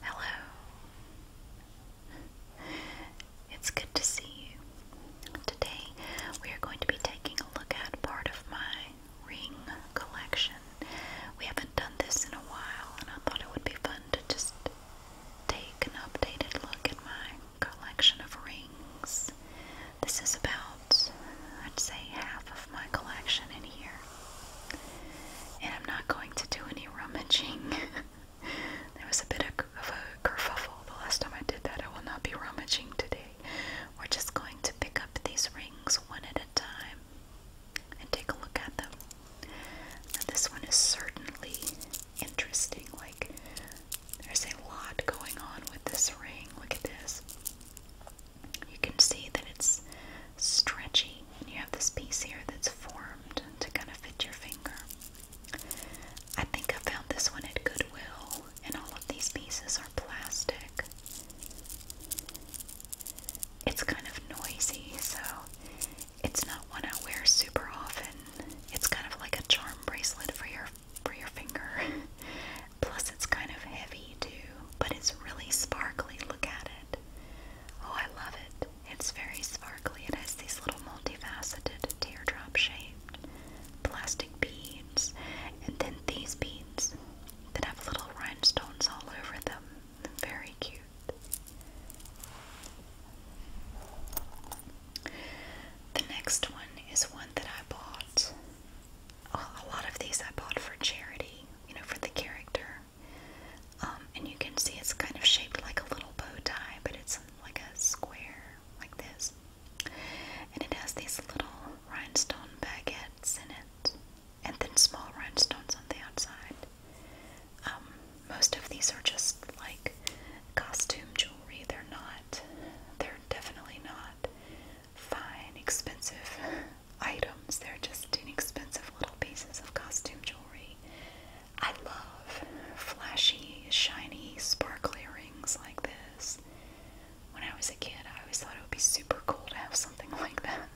Hello. It's good to see you. Today we are going to be taking a look at part of my ring collection. We haven't done this in a while, and I thought it would be fun to just take an updated look at my collection of rings. This is about, I'd say, half of my collection in here. And I'm not going to do any rummaging. there was a bit of, a kerfuffle the last time I did that. I will not be rummaging today. We're just going to pick up these rings one at a time and take a look at them. this one is certainly interesting. Like, there's a lot going on with this ring. Look at this you can see that it's stretchy. And you have this piece here that's formed to kind of fit your finger. I think I found this one at Goodwill, and all of these pieces are plastic. It's kind of noisy, so it's not one I wear super often. It's kind of like a charm bracelet for your for your finger. Plus, it's kind of heavy too but it's really sparkly. Look at it. Oh, I love it. It's very sparkly. It has these little multifaceted teardrop shaped plastic beads, and then these beads that have little rhinestones all over them. Very cute. The next one is one that I bought. Oh, a lot of these I bought for charity you know, for the character. Um, and you can see it's kind of shaped like a little bow tie, but it's like a square, like this. And it has these little rhinestone baguettes in it, and then small rhinestones on the outside. Um, most of these are just like costume jewelry. They're not, they're definitely not fine, expensive items. They're just inexpensive little pieces of costume jewelry. I love flashy, shiny, sparkly rings like this. When I was a kid, I always thought it would be super cool to have something like that.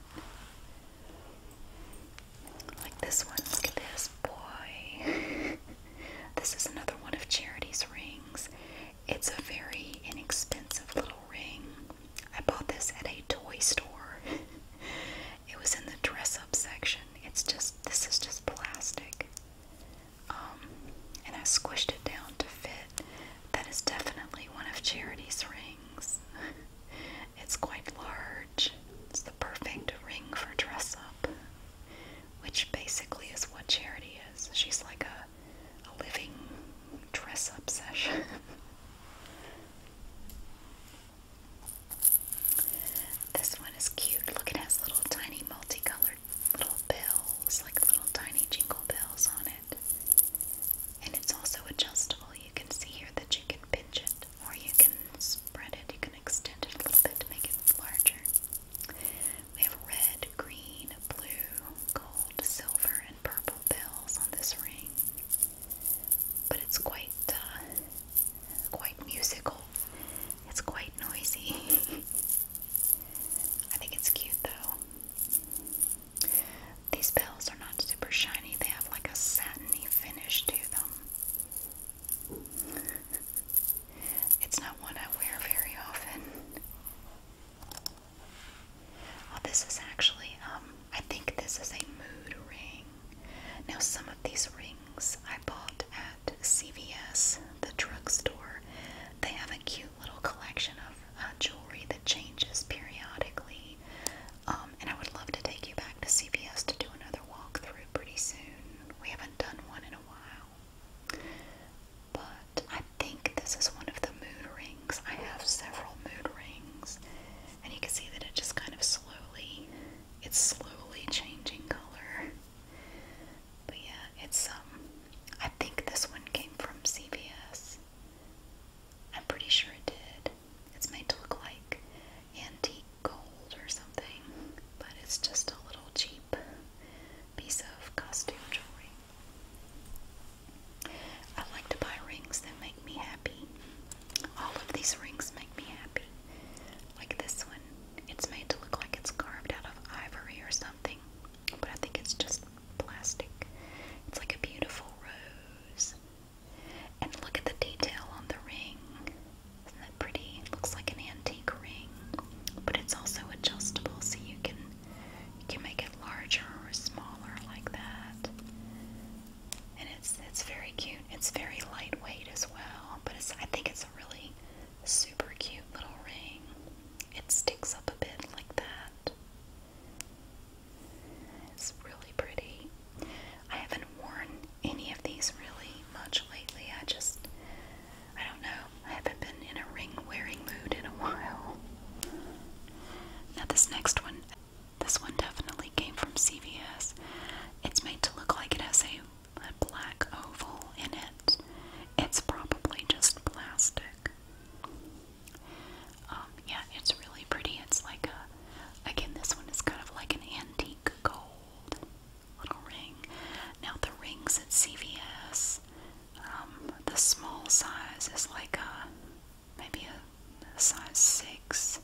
Like this one. Look at this. Boy. this is another one of Charity's rings. It's a very inexpensive little ring. I bought this at a toy store. it was in the dress up section. It's just, this is just plastic. Um, and I squished it down to fit. That is definitely one of Charity's rings. it's quite large. It's the perfect ring for dress up, which basically is what Charity is. She's like a living dress up session. This one is cute. Look, it has little tiny multicolored little bells, like little tiny jingle bells on it. And it's also adjustable. You can see here that you can pinch it or you can spread it. You can extend it a little bit to make it larger. We have red, green, blue, gold, silver, purple bells on this ring, but it's quite uh, quite musical. It's quite noisy. I think it's cute though. These bells are not super shiny. They have like a satiny finish to them. It's not one I wear very often. Oh, this is actually, um, I think this is a mood ring. Now, some of these rings I bought at CVS, the drugstore. They have a cute little collection of uh, jewelry that changes periodically. Um, and I would love to take you back to CVS to do another walkthrough pretty soon. We haven't done one in a while. But I think this is one of the mood I have several mood rings, and you can see that it just kind of slowly, it's slowly changing color. But yeah, it's um, I think this one came from CVS. I'm pretty sure it did. It's made to look like antique gold or something, but it's just a little cheap piece of costume jewelry. I like to buy rings that make me happy. All of these rings make me happy. Like this one, it's made to look like it's carved out of ivory or something, but I think it's just plastic. It's like a beautiful rose. And look at the detail on the ring. Isn't that pretty? looks like an antique ring, but it's also adjustable so you can you can make it larger or smaller like that. And it's it's very cute. It's very lightweight as well, but it's I think it's a really super cute little ring. It sticks up a bit like that. It's really pretty. I haven't worn any of these really much lately. I just I don't know. I haven't been in a ring wearing mood in a while. Now this next one this one definitely came from CVS. It's made to look like it has a, a black oval in it. It's probably just plastic. Um, yeah, it's really pretty. It's like a, again, this one is kind of like an antique gold little ring. Now, the rings at CVS, um, the small size is like a maybe a size six.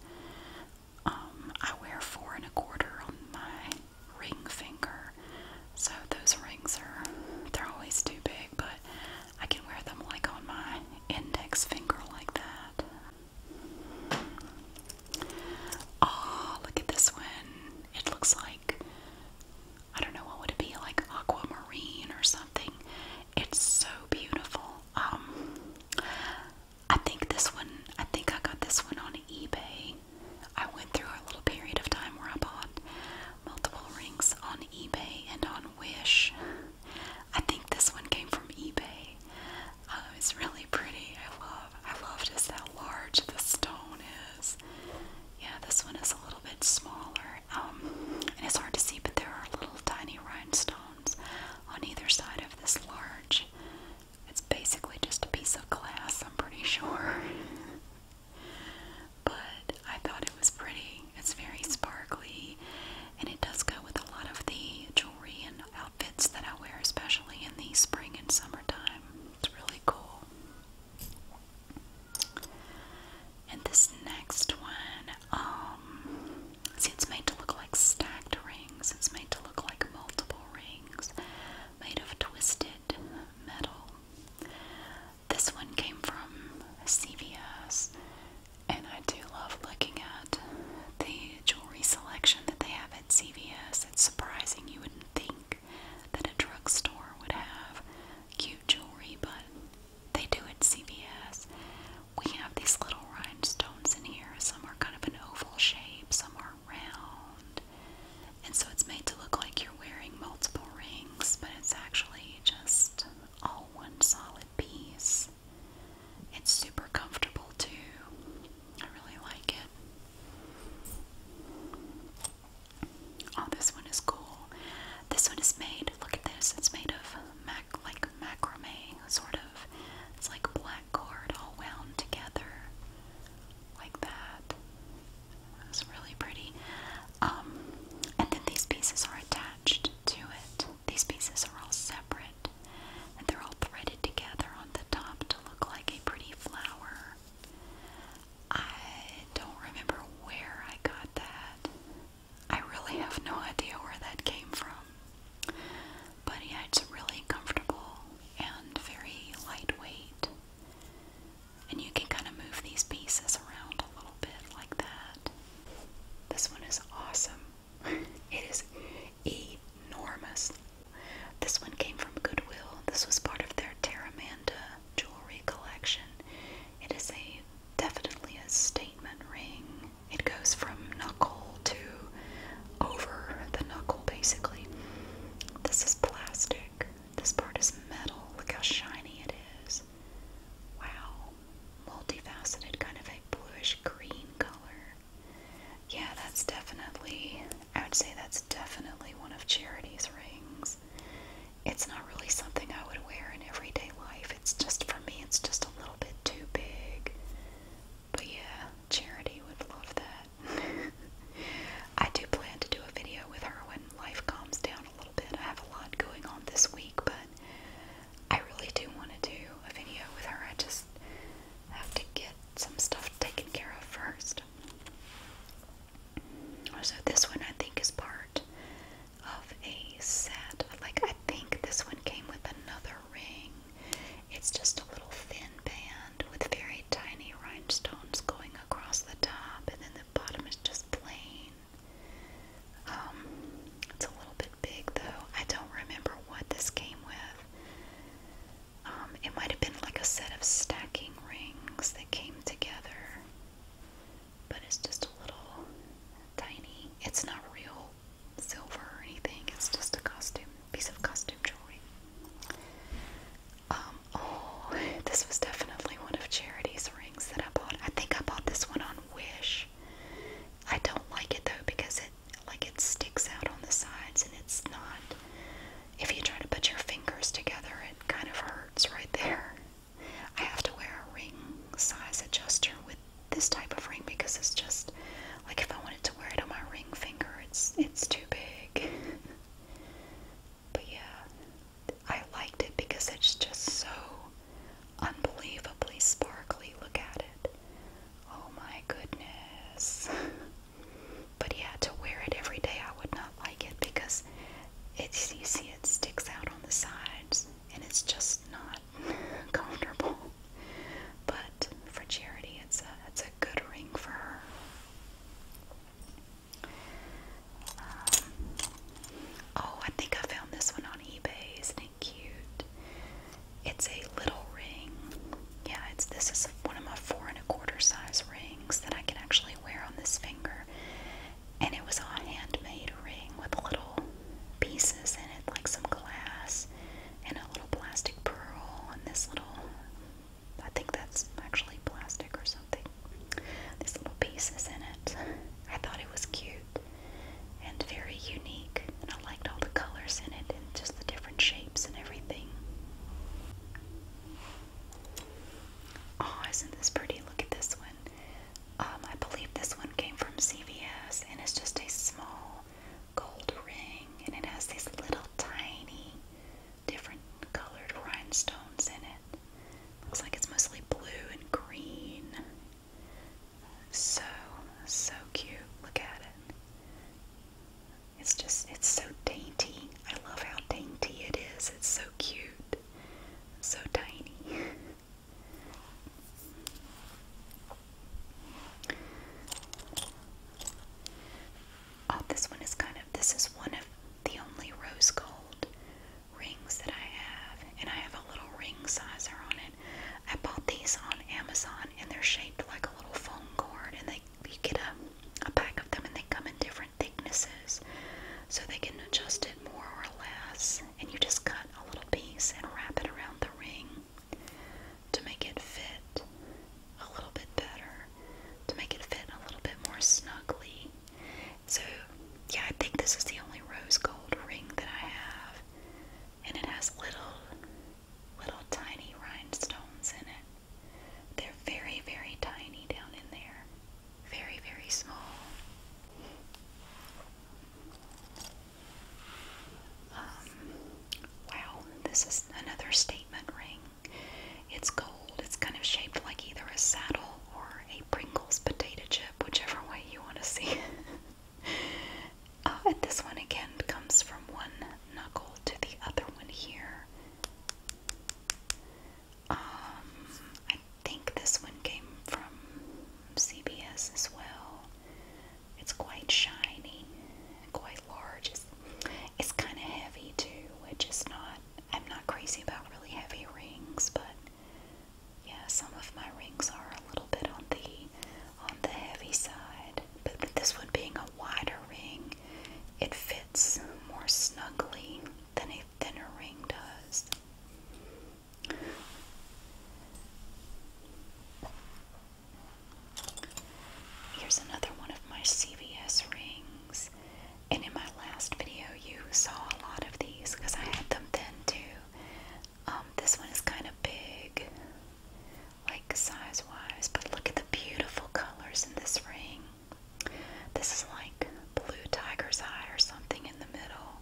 Um, I wear four and a quarter on my ring finger, so those rings are they're always too big, but I can wear them like on my index finger like that. Oh, look at this one. It looks like I don't know what would it be like aquamarine or something. It's so beautiful um I think this one I think I got this one on eBay. I went through a little period of time where I bought multiple rings on eBay and on Wish. I think this one came from eBay. Oh, it's really pretty. I love I love just how large the stone is. Yeah, this one is a little bit smaller. Um and it's hard to see but there are little tiny rhinestones on either side of this large. It's basically just a piece of glass, I'm pretty sure. but I thought it was pretty. It's very sparkly and it does go with a lot of the jewelry and outfits that I wear, especially in the spring and summertime. It's really cool. And this next one um, see, it's made to look like stacked rings. It's made to look like multiple rings, made of twisted metal. This one came from CVS, and I do love looking at the jewelry selection that they have at CVS. It's surprising you wouldn't think that a drugstore would have cute jewelry, but they do at CVS. We have these little rhinestones in here. Some are kind of an oval shape, some are round. And so it's made to look like you're wearing multiple rings, but it's actually just all one solid piece. It's super comfortable too. I really like it. Oh, this one is cool. This one is made, look at this, it's made of mac like macrame sort of. It's like black cord all wound together like that. It's really pretty. Um, and then these pieces are attached to it. These pieces are all separate and they're all threaded together on the top to look like a pretty flower. I don't remember where I got that. I really have no idea where that came from. But yeah, it's really comfortable and very lightweight. And you can kind of move these pieces around a little bit like that. This one is awesome. It is enormous. This one came from Goodwill. This was part of their Terramanda jewelry collection. It is a definitely a statement ring. It goes from knuckle to over the knuckle, basically. This is plastic. This part is metal. Look how shiny it is. Wow. Multifaceted, kind of a bluish green color. Yeah, that's definitely, I would say that's definitely one of Charity's rings. It's not really something I would wear in everyday life. It's just, for me, it's just a little bit too big. But yeah, Charity would love that. I do plan to do a video with her when life calms down a little bit. I have a lot going on this week, but I really do want to do a video with her. I just have to get some stuff taken care of first. So, this one I think is part of a set. Like, I think this one came with another ring. It's just a little thin band with very tiny rhinestones going across the top, and then the bottom is just plain. Um, it's a little bit big though. I don't remember what this came with. Um, it might have been like a set of stacking rings that came together but it's just a little tiny. It's not real silver or anything. It's just a costume, piece of costume jewelry. Um, oh, this was definitely one of Charity's rings that I bought. I think I bought this one on Wish. I don't like it though because it like it sticks out on the sides and it's not if you try to put your fingers together it kind of hurts right there. I have to wear a ring size adjuster with this type of ring because it's just like if I wanted to wear it on my ring finger, it's it's too big. but yeah, I liked it because it's just so unbelievably sparkly. Look at it. Oh my goodness. but yeah, to wear it every day, I would not like it because it's you see it sticks out on the sides and it's just not comfortable. But for charity, it's a it's a good ring for her. Um, oh, I think I found this one on eBay. Isn't it cute? It's a little ring. Yeah, it's this is one of my four and a quarter size rings that I can actually wear on this finger, and it was a handmade ring with little pieces in it, like some glass and a little plastic pearl and this little, I think that's actually plastic or something. These little pieces in it. I thought it was cute and very unique and I liked all the colors in it and just the different shapes and everything. Oh, isn't this pretty? Look at this one. Um, I believe this one came from CVS and it's just a small gold ring and it has these little tiny different colored rhinestones in it. Looks like it's mostly blue and green. So, so cute. Look at it. It's just, it's so dainty. I love how dainty it is. It's so cute. So tiny. Oh, this one is kind of, this is one of the only rose gold rings that I have, and I have a little ring sizer on it. I bought these on Amazon, and they're shaped like a little phone cord, and they you get a, a pack of them, and they come in different thicknesses, so they can adjust it more or less and you just cut a little piece and wrap it around the ring to make it fit a little bit better, to make it fit a little bit more snugly. So, yeah, I think this is the only rose gold ring that I have, and it has little, little tiny rhinestones in it. They're very, very tiny down in there. Very, very small. Um, wow, this is another statement ring. It's gold. It's kind of shaped like either a saddle or a Pringles potato chip, whichever way you want to see it. Uh, this one again comes from one knuckle to the other one here. Um, I think this one came from CBS as well. It's quite shiny, quite large. It's, it's kind of heavy too, which is not, I'm not crazy about really heavy rings, but yeah, some of my rings are a little bit on the, on the heavy side. But this one being a wider ring, it fits more snugly than a thinner ring does. Here's another one of my CVS rings. And in my last video, you saw a lot of these because I had them then too. Um, this one is kind of big, like size wise, but look at the beautiful colors in this ring. This is like blue tiger's eye or something in the middle.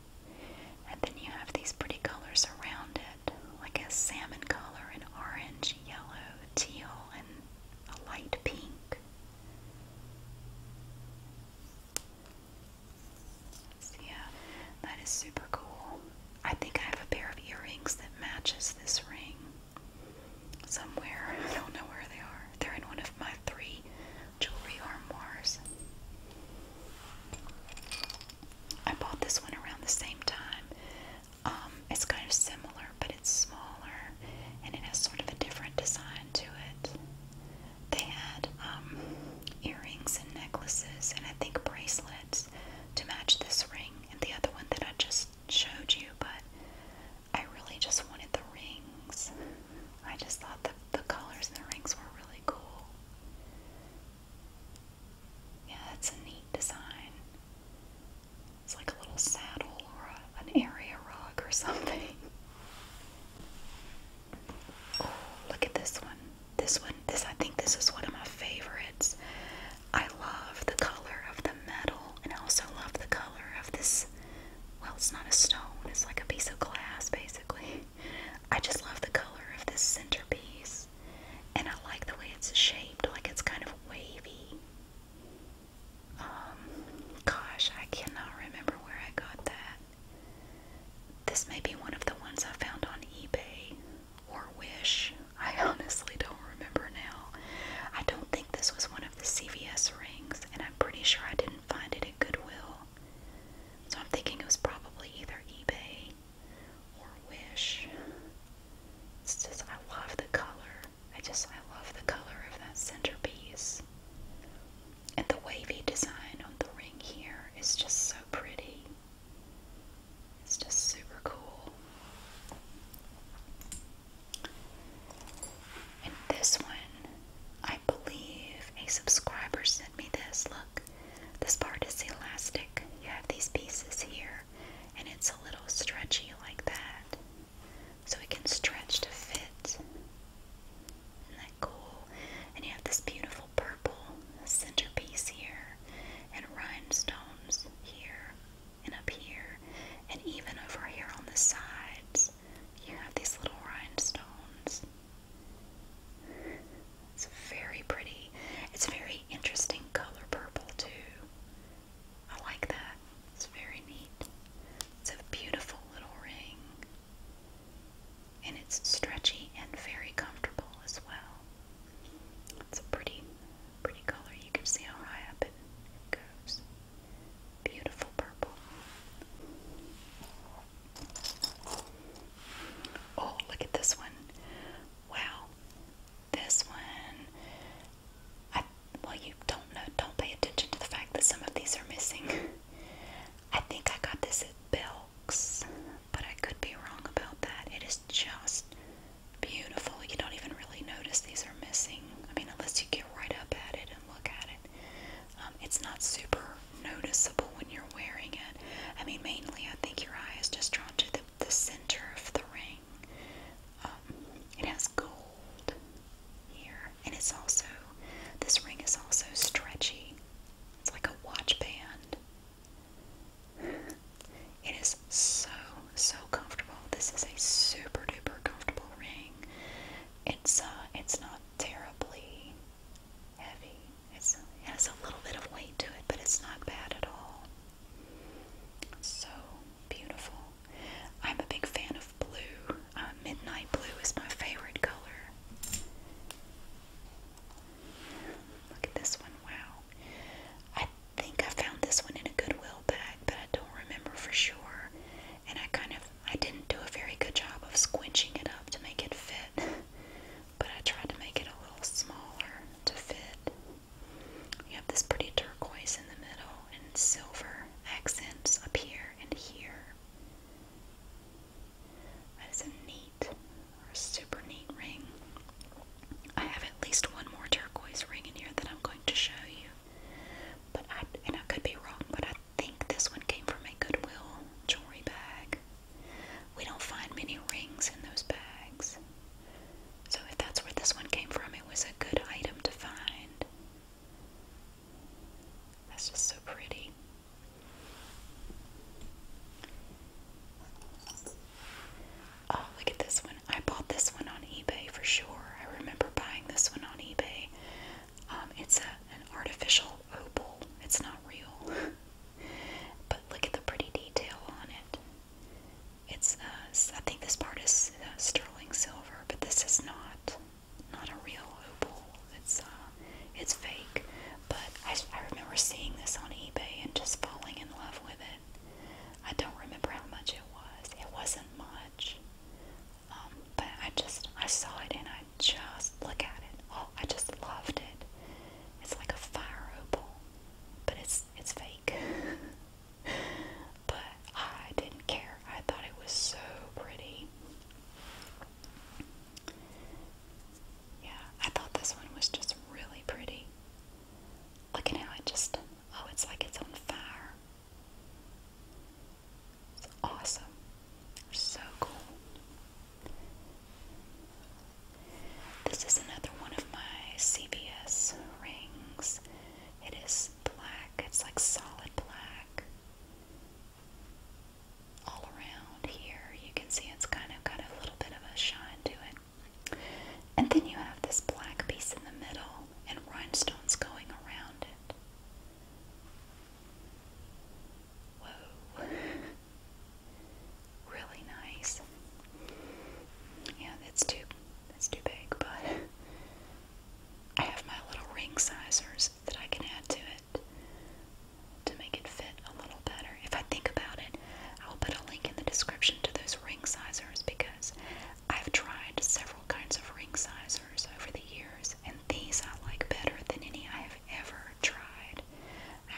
And then you have these pretty colors around it, like a salmon color, and orange, yellow, teal, and a light pink. So yeah, that is super cool. I think I have a pair of earrings that matches this ring somewhere. I don't know where they are. They're in one of my three jewelry armors. I bought this one around the same time. Um, it's kind of similar, but it's smaller and it has sort of a different design to it. They had um, earrings and necklaces, and I think bracelets to match this ring and the other one that I just showed you, but I really just wanted the rings. I just thought the colors in the rings were really cool. Yeah, that's a neat design. It's like a little saddle or an area rug or something. Oh, look at this one. This one, this I think this is one of my favorites. I love the color of the metal and I also love the color of this well, it's not a stone, it's like a piece of glass basically. I just love the color of this centerpiece, and I like the way it's shaped, like it's kind of wavy. Um, gosh, I cannot remember where I got that. This may be one of the ones I found on eBay or Wish. I honestly don't remember now. I don't think this was one of the CVS rings, and I'm pretty sure I didn't find it at Goodwill. So I'm thinking it was probably either eBay or wish. It's just, I love the color. I just, I love the color of that centerpiece. And the wavy design on the ring here is just so pretty. It's just super cool. And this one, I believe a subscriber sent me this. Look, this part is elastic. You have these pieces here, and it's a little stretchy like that. So it can stretch to fit. Isn't that cool? And you have this beautiful purple centerpiece here, and rhinestones here, and up here, and even over here on the sides, you have these little rhinestones. It's very pretty. It's a very interesting color purple too. I like that. It's very neat. It's a beautiful little ring. And it's stretchy and very comfortable as well. It's a pretty, pretty color. You can see how high up it goes. Beautiful purple. Oh, look at this one. Wow. This one, I, well, you don't know, don't pay attention to the fact that some of these are missing. I think I got this at Belk's, but I could be wrong about that. It is just beautiful. You don't even really notice these are missing. I mean, unless you get right up at it and look at it. Um, it's not super noticeable when you're wearing it. I mean, mainly I think your eye is just drawn to the, center of the ring. Um, it has gold here, and it's also, this ring is also stretchy. It's like a watch band. It is so, so comfortable. This is a super duper comfortable ring. It's, uh, it's not terribly heavy. it has a little bit of weight to it, but it's not bad at all. So beautiful. I'm a big fan of blue. Uh, midnight blue is my favorite color. Look at this one. Wow. I think I found this one in a Goodwill bag, but I don't remember for sure. And I kind of I didn't do a very good job of squinching it up to make it fit. but I tried to make it a little smaller to fit. You have this pretty turquoise in the middle and silver accents up here and here. That is a neat or a super neat ring. I have at least one more turquoise ring in here that I'm going to show you. But I and I could be wrong, but I think this one came from a Goodwill jewelry bag. We don't find many rings in those bags. So if that's where this one came from, it was a good item to find. That's just so pretty. Oh, look at this one. I bought this one on eBay for sure. I remember buying this one on eBay. Um, it's an artificial opal. It's not real. But look at the pretty detail on it. It's uh, I think this part is uh, sterling silver, but this is not not a real opal. It's uh, it's fake. But I, I remember seeing this on eBay and just falling in love with it. I don't remember how much it was. It wasn't much. Um, but I just I saw it and I just look at it. Oh, I just loved it. It's like a fire opal, but it's it's fake. but I didn't care. I thought it was so pretty. Yeah, I thought this one was just really pretty. Look at how it just oh, it's like it's on fire. It's awesome. So cool. This is another one of my CVS rings. It is black, it's like solid black. All around here, you can see it's kind of got a little bit of a shine to it. And then you have this black piece in the middle and rhinestones going around it. Whoa. really nice. Yeah, that's too that's too big, but I have my little ring sizers that I can add to it to make it fit a little better. If I think about it, I'll put a link in the description to those ring sizers because I've tried several kinds of ring sizers over the years, and these I like better than any I have ever tried.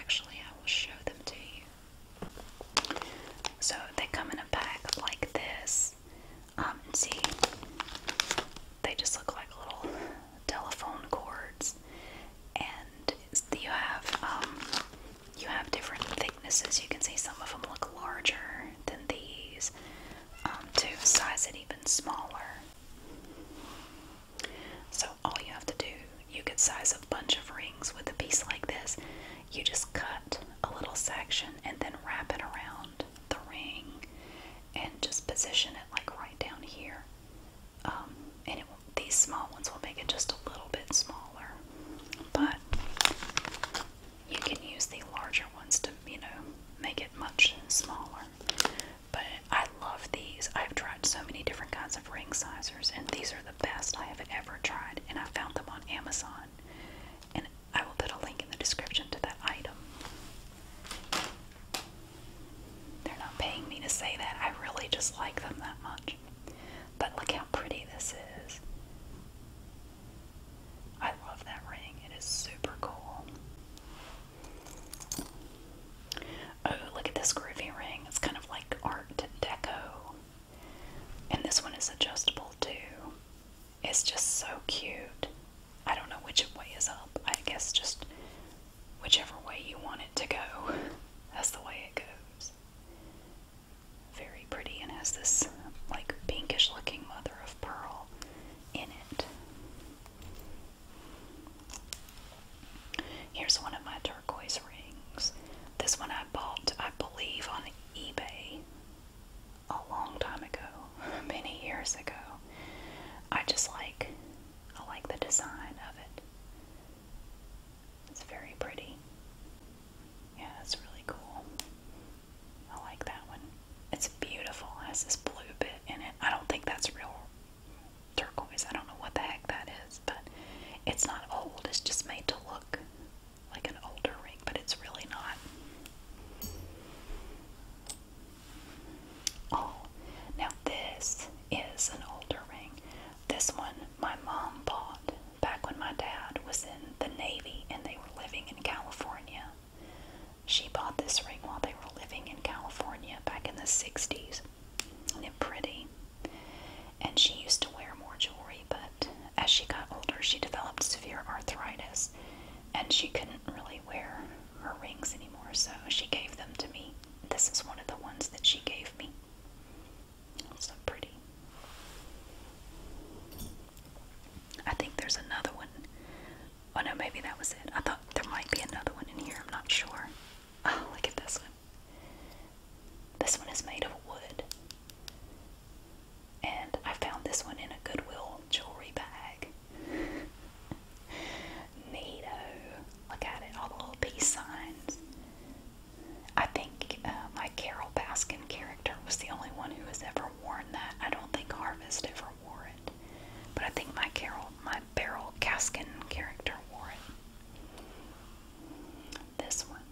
Actually, I will show them to you. So they come in a pack like this. and um, see, they just look like little telephone cords, and you have um, you have different thicknesses. You can see some of them look larger than these. Um, to size it even smaller. So all you have to do, you could size a bunch of rings with a piece like this. You just cut a little section and then wrap it around the ring and just position it like right down here. Um, and these small ones will make it just a little bit smaller. But you can use the larger ones to, you know, make it much smaller. But I I love these. I've tried so many different kinds of ring sizers, and these are the best I have ever tried. And I found them on Amazon. And I will put a link in the description to that item. They're not paying me to say that. I really just like them that much. But look how pretty this is. I love that ring. It is super cool. Oh, look at this groovy ring. It's kind of like art deco. And this one is adjustable too. It's just so cute. I don't know which way is up. I guess just whichever way you want it to go. That's the way it goes. Very pretty and has this like pinkish looking mother of pearl in it. Here's one of my turquoise rings. This one I bought, I believe, on eBay a long time ago, many years ago. I just like I like the design of it. It's very pretty. Yeah, it's really cool. I like that one. It's beautiful. It has this blue bit in it. I don't think that's real turquoise. I don't know what the heck that is, but it's not old. It's just made to look like an older ring, but it's really not. Oh, now this is an older ring. This one my mom bought back when my dad was in the Navy and they were living in California. She bought this ring while they were living in California back in the 60s and pretty. And she used to wear more jewelry, but as she got older, she developed severe arthritis and she couldn't really wear her rings anymore, so she gave them to me. This is one of the ones that she gave me. It's so pretty. I think there's another one. Oh no, maybe that was it. I thought there might be another one in here. I'm not sure. Oh, look at this one. This one is made of wood. And I found this one in a Goodwill jewelry bag. Neato. Look at it, all the little peace signs. I think uh, my Carol Baskin character was the only one who has ever worn that. I don't think Harvest ever wore it. But I think my Carol, my Beryl Caskin character wore it. This one.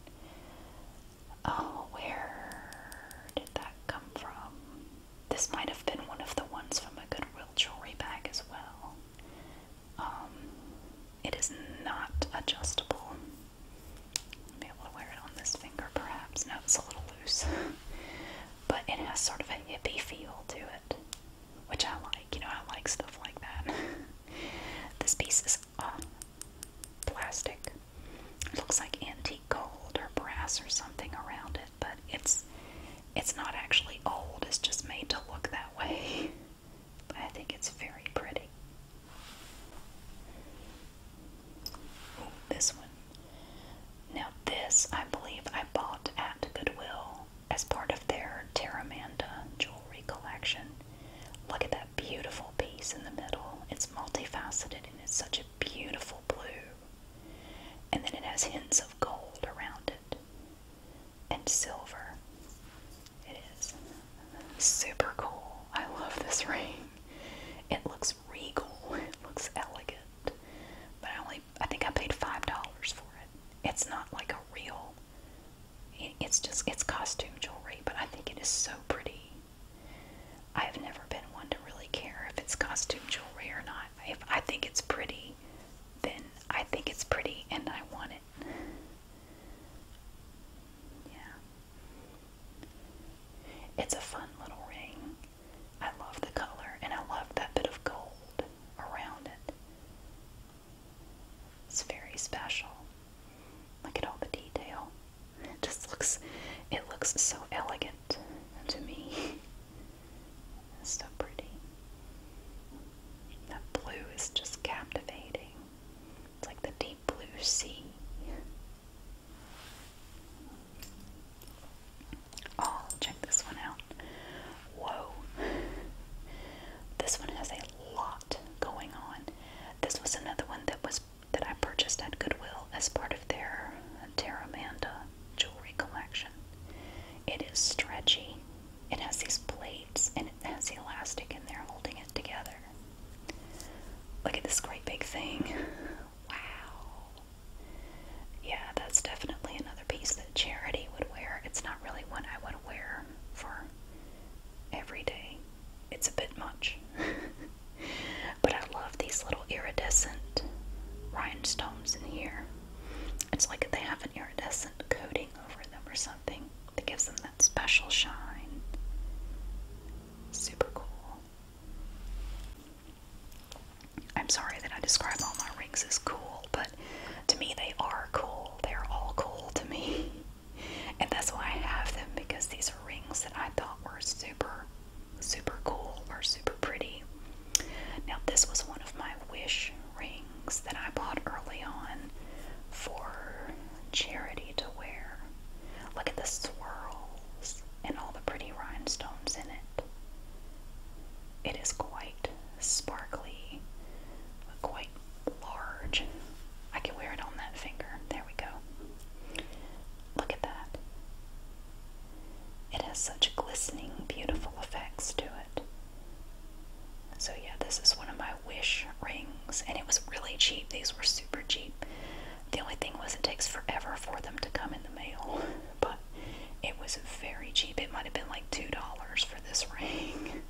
Oh, where did that come from? This might have been one of the ones from a Goodwill jewelry bag as well. Um, it is not adjustable. be able to wear it on this finger perhaps. No, it's a little loose. but it has sort of a hippie feel to it which I like. You know, I like stuff like that. this piece is uh, plastic. It looks like antique gold or brass or something around it, but it's it's not actually old. It's just made to look that way. But I think it's very pretty. this one. Now this, I believe I bought at Goodwill as part of their Terramanda jewelry collection. Look at that beautiful piece in the middle. It's multifaceted and it's such a beautiful blue. And then it has hints of gold around it and silver. It is super cool. I love this ring. It looks regal. It looks elegant. But I only I think I paid $5 for it. It's not like a real it's just, it's costume jewelry, but I think it is so pretty. I have never been one to really care if it's costume jewelry or not. If I think it's pretty, then I think it's pretty and I want it. Yeah. It's a fun little ring. I love the color and I love that bit of gold around it. It's very special. Look at all the detail. It just looks it looks so elegant to me. It's so pretty. That blue is just captivating. It's like the deep blue sea. Oh, check this one out. Whoa. This one has a lot going on. This was another one that was that I purchased at Goodwill as part of their Terramanda jewelry collection. It is stretchy. It has these plates and it has the elastic in there holding it together. Look at this great big thing. Wow. Yeah, that's definitely another piece that charity would wear. It's not really one I would wear for every day. It's a bit much. but I love these little iridescent rhinestones in here. It's like they have an iridescent coating over them or something that gives them that special shine. Super cool. I'm sorry that I describe all my rings as cool, but to me they are cool. They're all cool to me. And that's why I have them because these are rings that I thought were super, super cool or super pretty. Now, this was one of my wish rings that I bought early on for charity to wear. Look at the swirls and all the pretty rhinestones in it. It is quite sparkly, quite large. I can wear it on that finger. There we go. Look at that. It has such glistening, beautiful effects to it. So, yeah, this is one of my wish rings, and it was really cheap. These were super cheap. The only thing was, it takes forever for them to come in the mail, but it was very cheap. It might have been like $2 for this ring.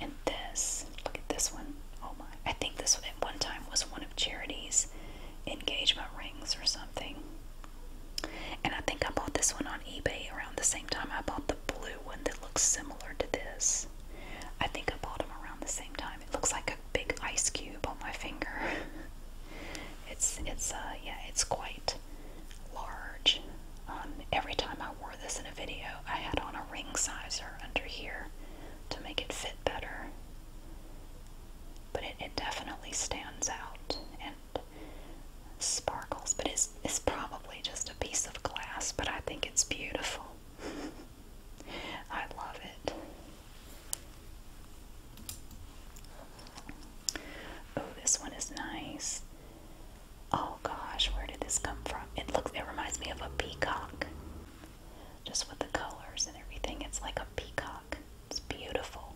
And this, look at this one. Oh my. I think this one at one time was one of Charity's engagement rings or something. And I think I bought this one on eBay around the same time I bought the blue one that looks similar to this. I think I bought them around the same time. It looks like a big ice cube on my finger. it's it's uh yeah it's quite large. Um, every time I wore this in a video, I had on a ring sizer under here to make it fit better. But it, it definitely stands out and sparkles. But it's it's probably just a piece of glass. But I think it's beautiful. I love it. Oh, this one is nice. Oh gosh, where did this come from? It looks it reminds me of a peacock. Just with the colors and everything. It's like a peacock. It's beautiful.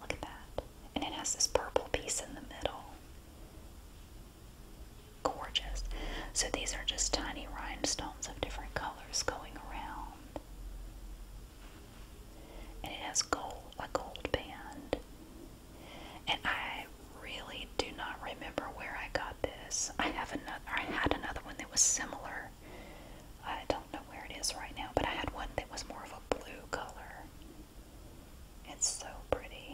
Look at that. And it has this purple piece in the middle. Gorgeous. So these are just tiny rhinestones of different colors going around and it has gold, a gold band. And I really do not remember where I got this. I have another. I had another one that was similar. I don't know where it is right now, but I had one that was more of a blue color. It's so pretty,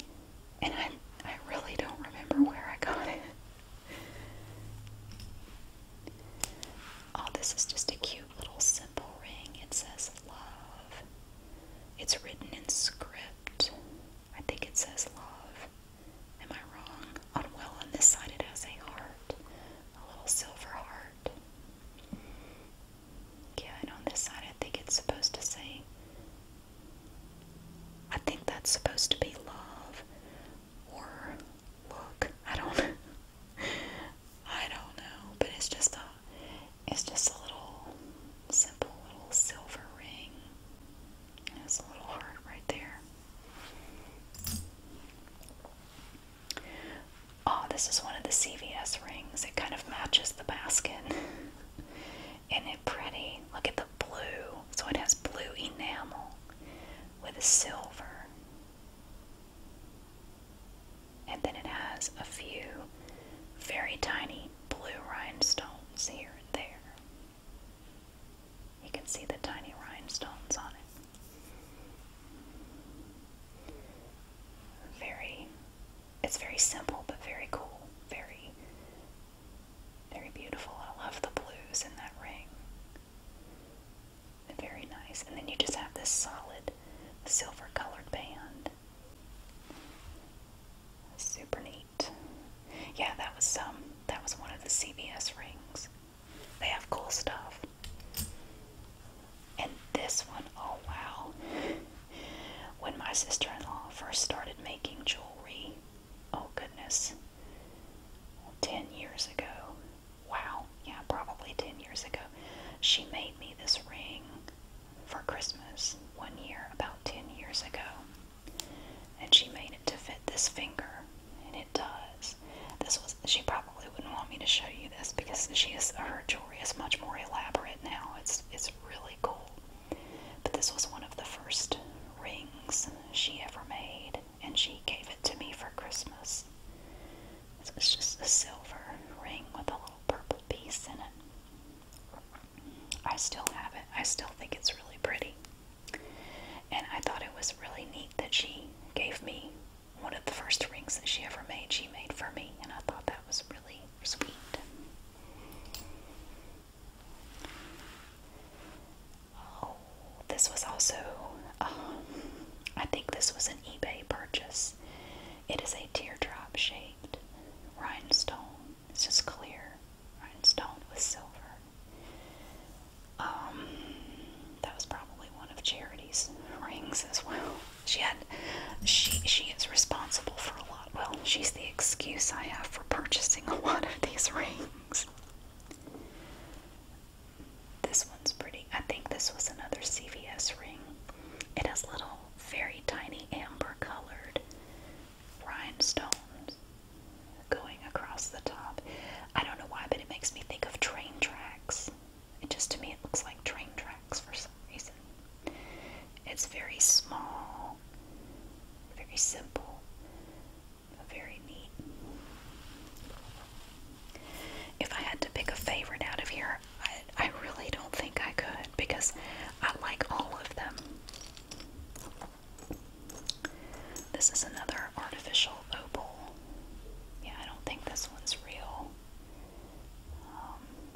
and I I really don't remember where I got it. Oh, this is just a cute little simple ring. It says love. It's written in script. I think it says love. Am I wrong? well on this side it has a heart. A little silver heart. Yeah, and on this side I think it's supposed to say I think that's supposed to be love or look. I don't I don't know, but it's just a it's just a little simple little silver ring. It's a little heart right there. Oh, this is one of the CVS rings. It kind of matches the basket. Isn't it pretty? Look at the blue. So it has blue enamel with a silver and then it has a few very tiny blue rhinestones here and there. You can see the tiny rhinestones on it. Very, it's very simple but very cool. Very, very beautiful. I love the blues in that ring. Very nice. And then you just have this solid silver colored band. Super neat. Yeah, that was um that was one of the CBS rings. They have cool stuff. And this one, oh wow. When my sister-in-law first started making jewelry, oh goodness. 10 years ago, wow, yeah, probably 10 years ago, she made me this ring for Christmas one year, about 10 years ago. And she made it to fit this finger, and it does. This was, she probably wouldn't want me to show you this because she is, her jewelry is much more elaborate now. It's, it's really cool. But this was one of the first rings she ever made and she gave it to me for Christmas. So it's just a silver ring with a little purple piece in it. I still have it. I still think it's really pretty. And I thought it was really neat that she gave me one of the first rings that she ever made, she made for me, and I thought that was really sweet. Oh, this was also, um, I think this was an eBay purchase. It is a teardrop shaped rhinestone. It's just clear rhinestone with silver. Um, that was probably one of Charity's rings as well. She had, she she is responsible for a lot. Well, she's the excuse I have for purchasing a lot of these rings. This one's pretty. I think this was another CVS ring. It has little, very tiny amber colored rhinestones going across the top. I don't know why, but it makes me think of train tracks. It just, to me, it looks like train tracks for some reason. It's very small, very simple. Very neat. If I had to pick a favorite out of here, I, really don't think I could because I like all of them. This is another artificial opal. Yeah, I don't think this one's real. Um,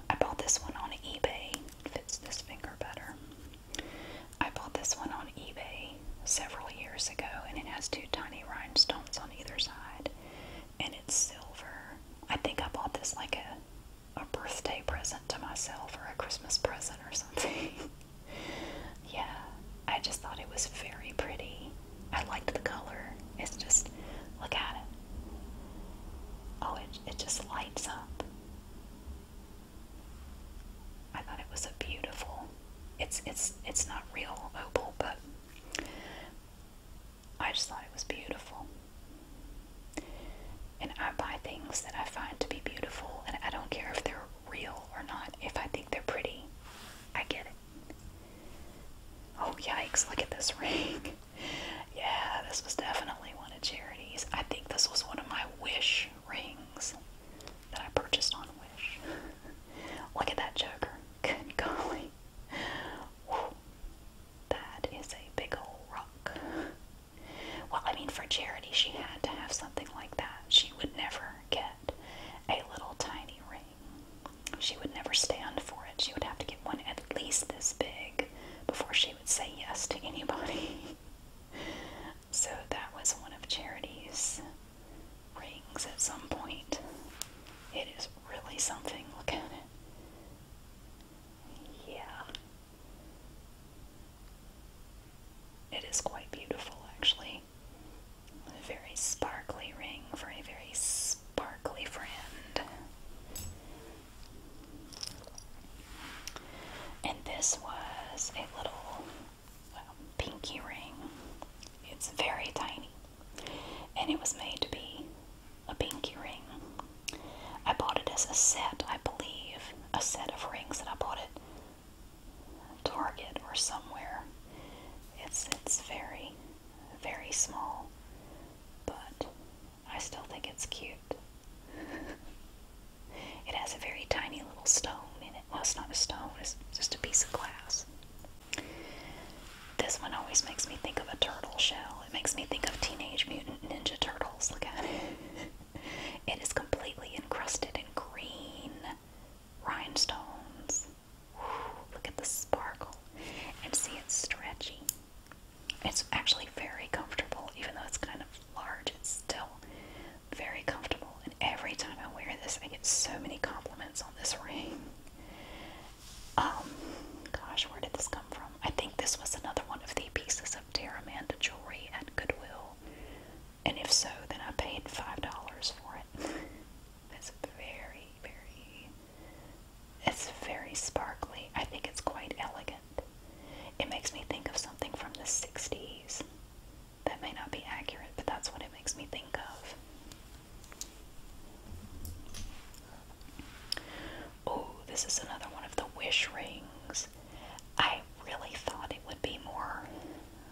I bought this one on eBay. fits this finger better. I bought this one on eBay several years ago, and it has two tiny rhinestones on either side, and it's silver. I think I bought this like a, a birthday present to myself or a Christmas present or something. yeah, I just thought it was very pretty. I liked the color. It's just, look at it. Oh, it, it just lights up. I thought it was a beautiful. It's it's it's not real opal, but I just thought it was beautiful. And I buy things that I find to be beautiful, and I don't care if they're real or not. If I think they're pretty, I get it. Oh, yikes, look at this ring. yeah, this was definitely one of Charity's. I think this was one of my wish rings that I purchased on Wish. Look at that joker. Good golly. That is a big old rock. Well, I mean, for charity, she had to have something like that. She would never get a little tiny ring. She would never stand for it. She would have to get one at least this big before she would say yes to anybody. so that was one of Charity's rings at some point. It is really something. Look at it. Yeah. It is quite beautiful, actually. A very sparkly ring for a very sparkly friend. And this was a little pinky ring. It's very tiny, and it was made to be a pinky ring. I bought it as a set, I believe, a set of rings and I bought it Target or somewhere. It's it's very, very small, but I still think it's cute. it has a very tiny little stone in it. Well, it's not a stone, it's just a piece of glass. This one always makes me think of a turtle shell. It makes me think of Teenage Mutant Ninja Turtles. Look at it. it is completely encrusted in green rhinestones. look at the sparkle. And see, it stretchy. It's actually very comfortable, even though it's kind of large, it's still very comfortable every time I wear this, I get so many compliments on this ring. Um, gosh, where did this come from? I think this was another one of the pieces of Terramanda jewelry at Goodwill. And if so, then I paid $5 for it. it's very, very, it's very sparkly. I think it's quite elegant. It makes me think of something from the 60s. That may not be accurate, but that's what it makes me think of. Oh, this is another one of the wish rings. I really thought it would be more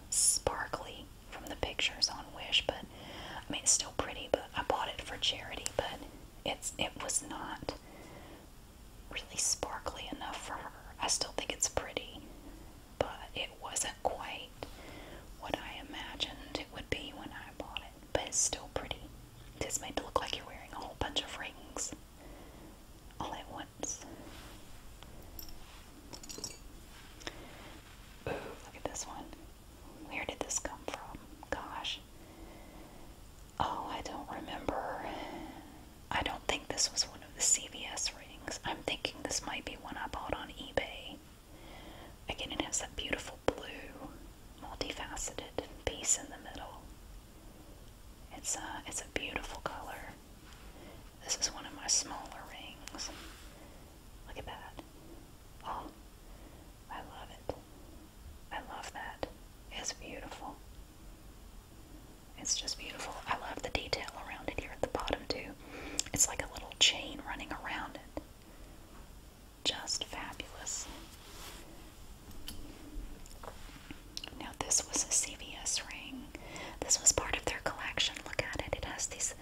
sparkly from the pictures on Wish, but I mean it's still pretty, but I bought it for charity, but it's it was not really sparkly enough for her. I still think it's pretty but it wasn't quite what I imagined it would be when I bought it. But it's still pretty. It's made to look like you're wearing a whole bunch of rings all at once. Ooh, look at this one. Where did this come from? Gosh. Oh, I don't remember. I don't think this was one of the CVS rings. I'm thinking this might be one I bought on eBay. Again, it has that beautiful blue, multifaceted piece in the middle. It's a, it's a beautiful color. This is one of my smaller rings. Look at that. Oh, I love it. I love that. It's beautiful. It's just beautiful. I love the detail around it here at the bottom, too. It's like a little chain running around it. Just fabulous. Now, this was a CVS ring. This was part of their collection. Look at it. It has these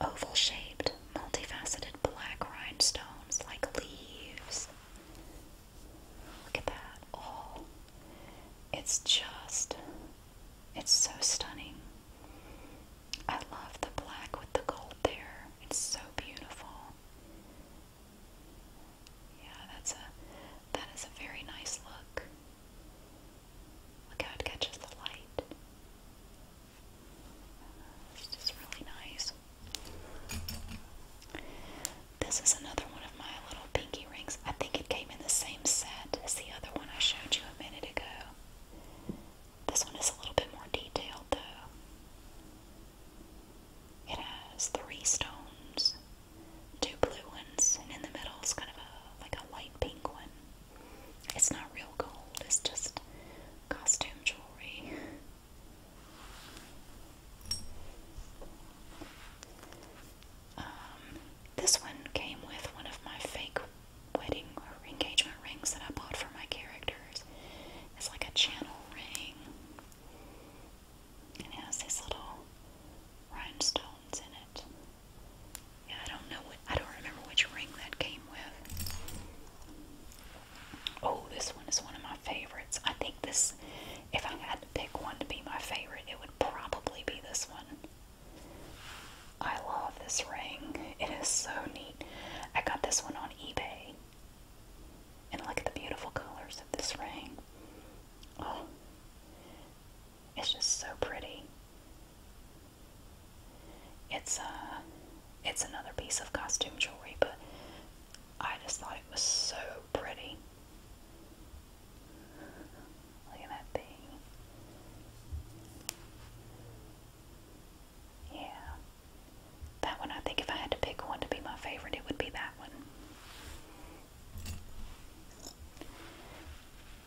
oval shaped, multifaceted black rhinestones like leaves. Look at that. Oh, it's just, it's so stunning. I love the black with the gold there. It's so beautiful. Yeah, that's a that is a very nice look. Look how it catches the light. It's just really nice. This is another one of my little pinky rings. I think it came in the same set as the other one I showed you a minute ago. This one is a little bit more detailed though. It has three stones, two blue ones, and in the middle is kind of a like a white pink one. It's not real gold, it's just costume jewelry. Um, this one came with one of my fake wedding or engagement rings that I bought for my characters. It's like a channel ring. And it has these little rhinestones in it. Yeah, I don't know what I don't remember which ring that came with. Oh, this one is one of my favorites. I think this if I had to pick one to be my favorite, it would probably be this one. I love this ring. It is so neat. I got this one on eBay. And look at the beautiful colors of this ring. Oh, it's just so pretty. It's uh, it's another piece of costume jewelry, but I just thought it was so pretty. Look at that thing. Yeah. That one, I think if I had to pick one to be my favorite, it would be that one.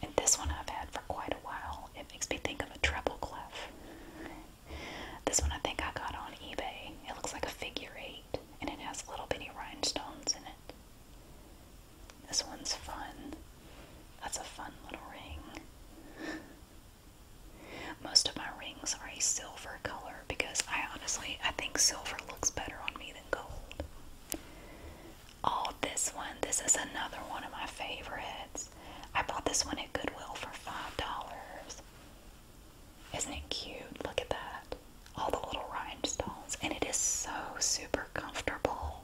And this one I've had for quite a while. It makes me think of a treble clef. This one I think I got on eBay. It looks like a figure eight, and it has little bitty rhinestones in it. This one's fun. That's a fun little ring. Most of my rings are a silver color because I honestly I think silver looks better on me than gold. Oh, this one. This is another one of my favorites. I bought this one at Goodwill for five dollars. Isn't it cute? Look at that. All the little rhinestones. And it is so super comfortable.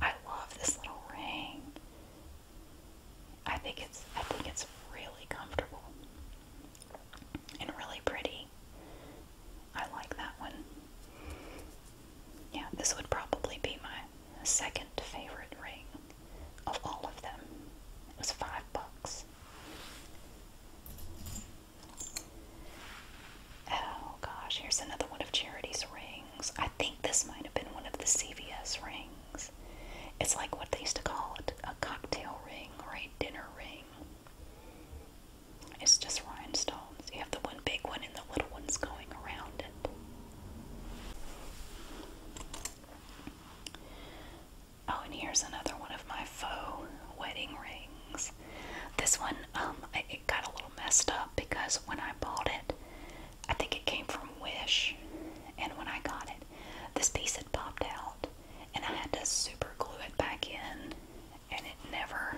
I love this little ring. I think it's I think it's really comfortable and really pretty. I like that one. Yeah, this would probably be my second favorite ring of all of them. It was five bucks. Oh gosh, here's another one of Charity's ring. I think this might have been one of the CVS rings. It's like what they used to call it a cocktail ring or a dinner ring. It's just rhinestones. You have the one big one and the little ones going around it. Oh, and here's another one of my faux wedding rings. This one, um, it got a little messed up because when I bought it, I think it came from Wish. And when I got it, this piece had popped out, and I had to super glue it back in, and it never,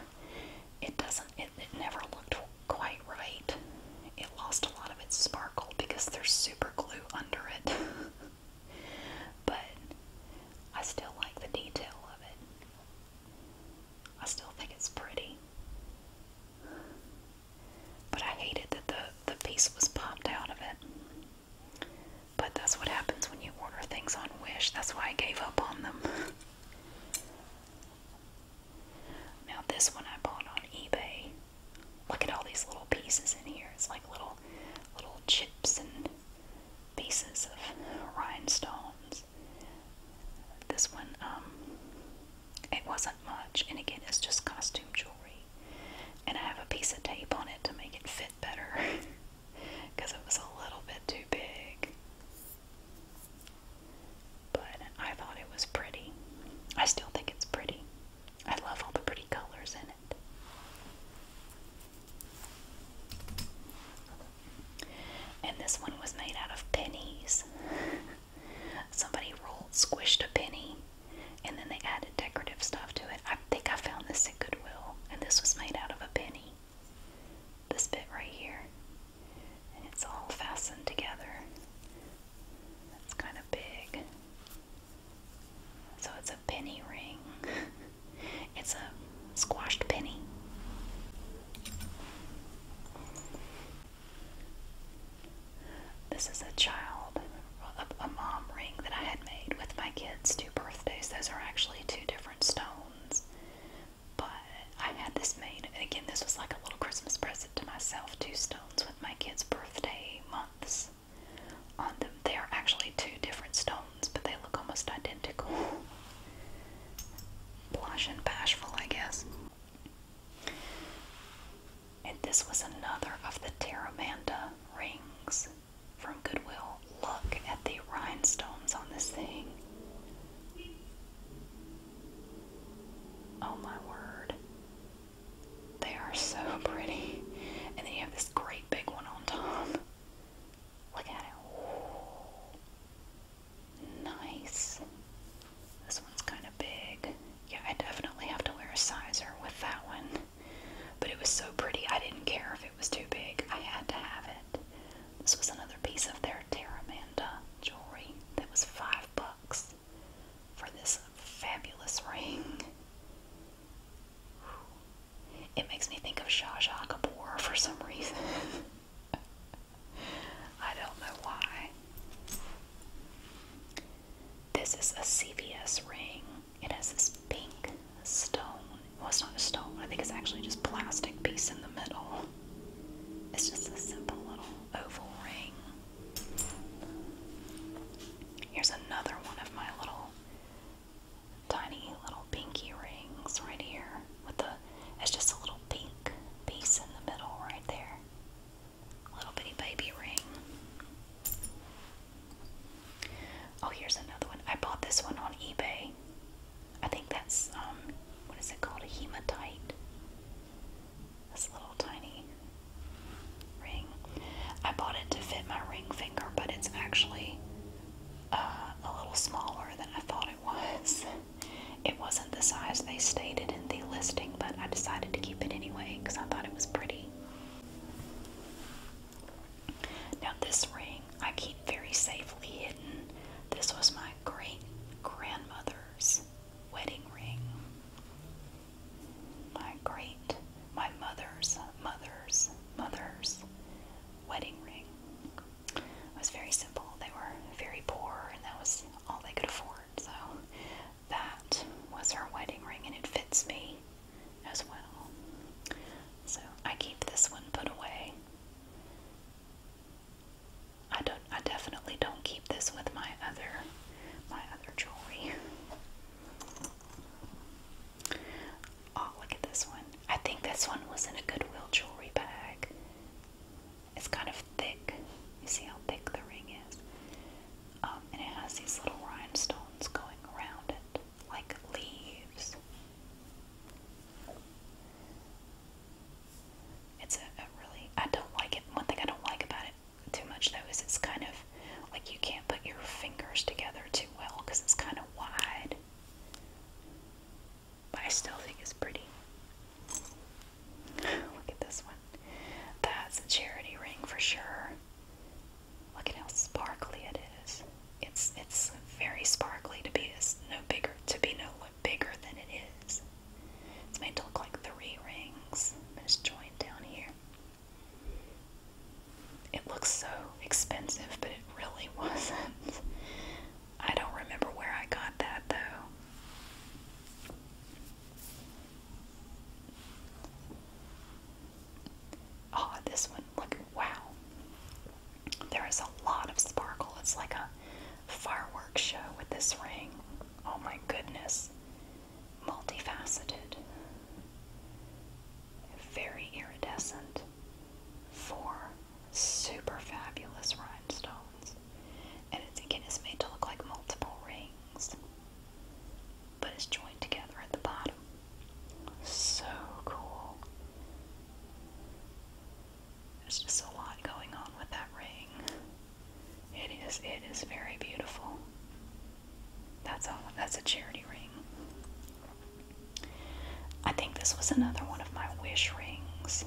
it doesn't, it, never looked quite right. It lost a lot of its sparkle because there's super glue under it. but I still like the detail of it. I still think it's pretty. But I hated that the, the piece was popped out of it. But that's what happens when you order things on Wish. That's why I gave up on them. now, this one I bought on eBay. Look at all these little pieces in here. It's like little, little chips and pieces of rhinestones. This one, um, it wasn't much, and again, it's just costume jewelry. And I have a piece of tape on it to make it fit better because it was a little bit too big. But I thought it was pretty. I still think it's pretty. I love all the pretty colors in it. And this one was made out of pennies. Somebody rolled, squished a penny, and then they added decorative stuff to it. I think I found this at Goodwill, and this was made out of a penny. This bit right here. And it's all fastened together. That's kind of big. So it's a penny ring. it's a squashed penny. This is a child, a, mom ring that I had made with my kids' two birthdays. Those are actually two different stones. But I had this made, and again, this was like a little Christmas present to myself two stones with my kids' birthday months on them. They are actually two different stones, but they look almost identical. Blush and bashful, I guess. And this was another of the Terramanda rings from Goodwill. Look at the rhinestones on this thing. Oh my word. They are so pretty. And then you have this great big one on top. Look at it. Nice. This one's kind of big. Yeah, I definitely have to wear a sizer with that one. But it was so pretty, I didn't care if it was too big. I had to have it. This was another piece of their Terramanda jewelry that was five bucks for this fabulous ring. It makes me think of Shah Kapoor for some reason. I don't know why. This is a CVS ring. It has this pink stone. It was not a stone. I think it's actually just plastic piece in the middle. It's just a simple little oval ring. Here's another one of my little tiny little pinky rings right here with the it's just a little pink piece in the middle right there little bitty baby ring. Oh, here's another one. I bought this one on eBay. I think that's um, what is it called? A hematite. This little tiny ring. I bought it to fit my ring finger, but it's actually uh, a little smaller than I thought it was. It wasn't the size they stated in the listing, but I decided to keep it anyway because I thought it was pretty. Now, this ring I keep very safely hidden. This was my great grandmother's wedding ring. My great, my mother's, mother's, mother's wedding ring. It was very simple. They were very poor, and that was all they could afford. So that was her wedding ring, and it fits me as well. So I keep this one put away. I don't. I definitely don't keep this with my other, my other jewelry. Oh, look at this one. I think this one was in a Goodwill jewelry bag. It's kind of thick. You see how thick the ring is? Um, and it has these little rhinestones going around it, like leaves. It's a really, I don't like it. One thing I don't like about it too much though is it's kind of like you can't put your fingers together too well because it's kind of wide. But I still think it's pretty. Look at this one. That's a charity ring for sure. Look at how sparkly it is. It's it's very sparkly to be no bigger to be no bigger than it is. It's made to look like three rings. It's joint down here. It looks so expensive, but it really wasn't. I don't remember where I got that though. Oh, this one, look, wow. There is a lot of sparkle. It's like a fireworks show with this ring. Oh my goodness. Multifaceted. Very iridescent. Four super fabulous rhinestones. And it's again it's made to look like multiple rings but it's joined together at the bottom. So cool. There's just a lot going on with that ring. It is it is very beautiful. That's all that's a charity ring. I think this was another one of my wish rings.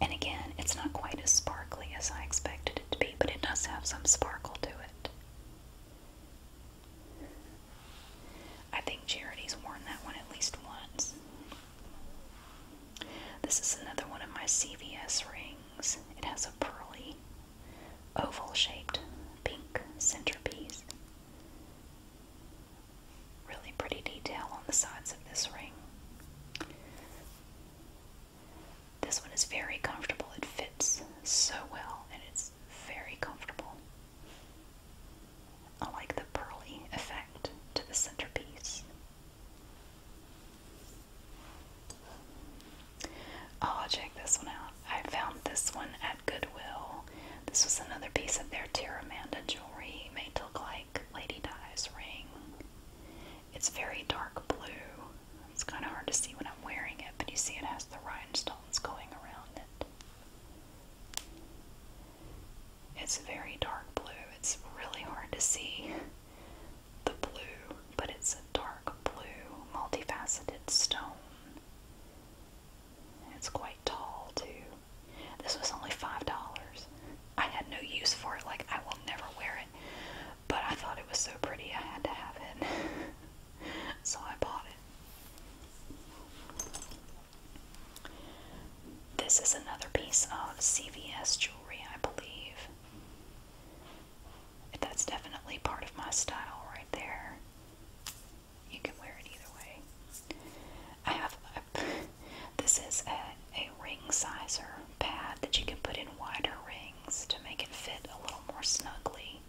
And again, it's not quite as sparkly as I expected it to be but it does have some sparkle to it. I think Charity's worn that one at least once. This is another one of my CVS rings. It has a pearly, oval shaped pink centerpiece. Really pretty detail on the sides of this ring. This one is very comfortable. It fits so well and it's very comfortable. I like the pearly effect to the centerpiece. Oh, I'll check this one out. I found this one at Goodwill. This was another piece of their Terramanda jewelry made to look like Lady Di's ring. It's very dark blue it's kind of hard to see when I'm wearing it, but you see it has the rhinestones going around it. It's very dark blue. It's really hard to see the blue, but it's a dark blue, multifaceted stone. It's quite tall, too. This was only $5. I had no use for it. Like, I will never wear it but I thought it was so pretty I had to have it. so I bought it. This is another piece of CVS jewelry, I believe. That's definitely part of my style right there. You can wear it either way. I have a, this is a, a ring sizer pad that you can put in wider rings to make it fit a little more snugly.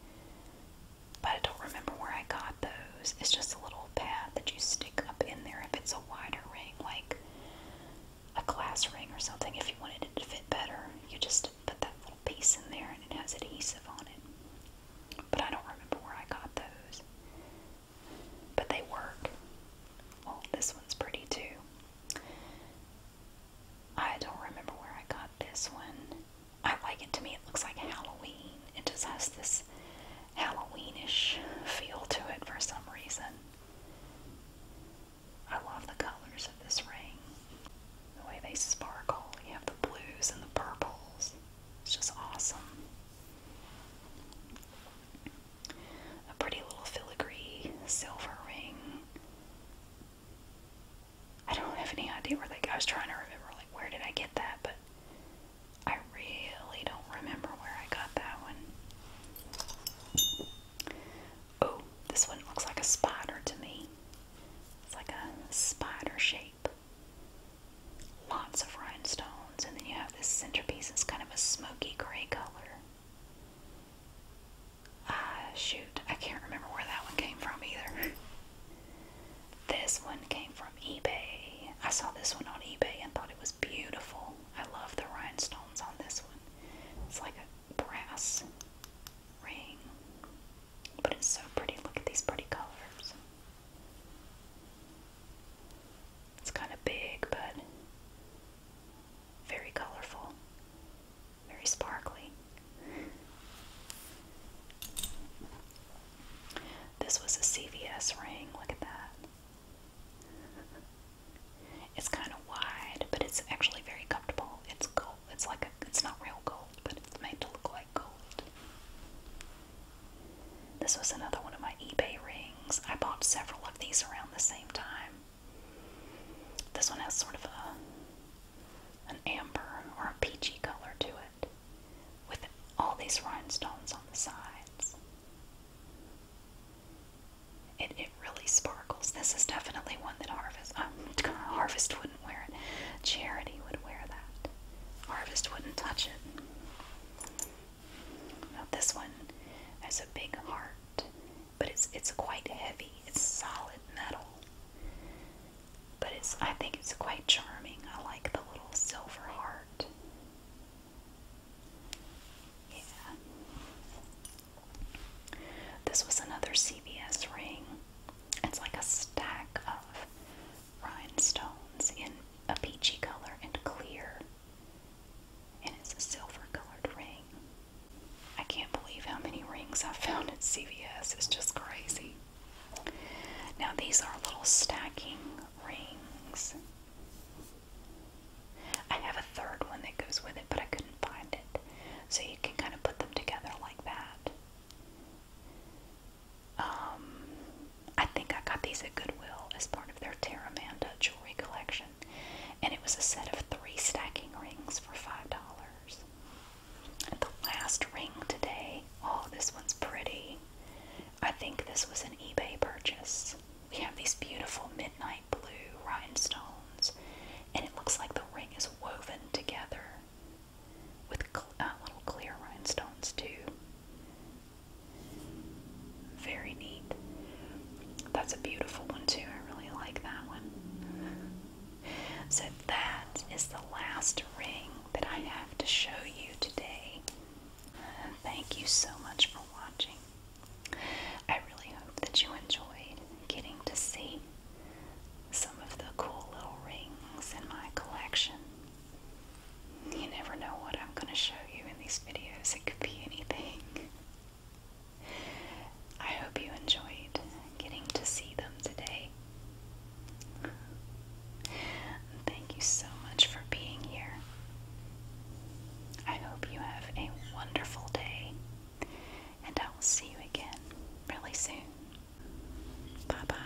But I don't remember where I got those. It's just a little pad that you stick up in there if it's a wider ring, like a class ring or something. If you wanted it to fit better, you just put that little piece in there and it has adhesive on it. But I don't remember where I got those. But they work. Well, this one's pretty too. I don't remember where I got this one. I like it to me. It looks like Halloween. It just has this Halloweenish feel to it for some reason. I love the colors of this ring. The way they sparkle. You have the blues and the purples. It's just awesome. A pretty little filigree silver ring I don't have any idea where like I was trying to remember like where did I get that, but I really don't remember where I got that one. Oh, this one looks like a spider to me. It's like a spider shape. Lots of rhinestones, and then you have this centerpiece. It's kind of a smoky gray color. Uh, shoot, I can't remember where that one came from either. this one came from eBay. I saw this one on eBay and thought it was beautiful. I love the rhinestones on this one. It's like a brass ring, but it's so pretty. Look at these pretty colors. It's kind of big, but very colorful very sparkly. This was a CVS ring, look at that. It's kind of wide, but it's actually very comfortable. It's gold. It's like a, it's not real gold, but it's made to look like gold. This was another one of my eBay rings. I bought several of these around the same time. This one has sort of a an amber or a peachy color to it with all these rhinestones on the sides. It, it really sparkles. This is definitely one that Harvest um, Harvest wouldn't wear it. Charity would wear that. Harvest wouldn't touch it. this one has a big heart but it's it's quite heavy. It's solid metal. But it's I think it's quite charming. I like the little silver heart. Yeah. This was another CVS ring. It's like a stack of rhinestones in a peachy color and clear. And it's a silver colored ring. I can't believe how many rings I found at CVS. It's just crazy. Now, these are little stacking rings. I have a third one that goes with it, but I couldn't find it. So you can kind of put them together like that. Um, I think I got these at Goodwill as part of their Terramanda jewelry collection and it was a set of three stacking rings for five dollars. And the last ring today, oh, this one's pretty. I think this was an eBay purchase. We have these beautiful midnight blue rhinestones, and it looks like the ring is woven together with uh, little clear rhinestones, too. Very neat. That's a beautiful one, too. I really like that one. So, that is the last ring that I have to show you today. Thank you so much for watching. I really hope that you enjoyed getting to see some of the cool little rings in my collection. You never know what I'm going to show you in these videos, it could be anything. I hope you enjoyed getting to see them today. Thank you so much for being here. I hope you have a wonderful day, and I will see you again really soon. Bye bye.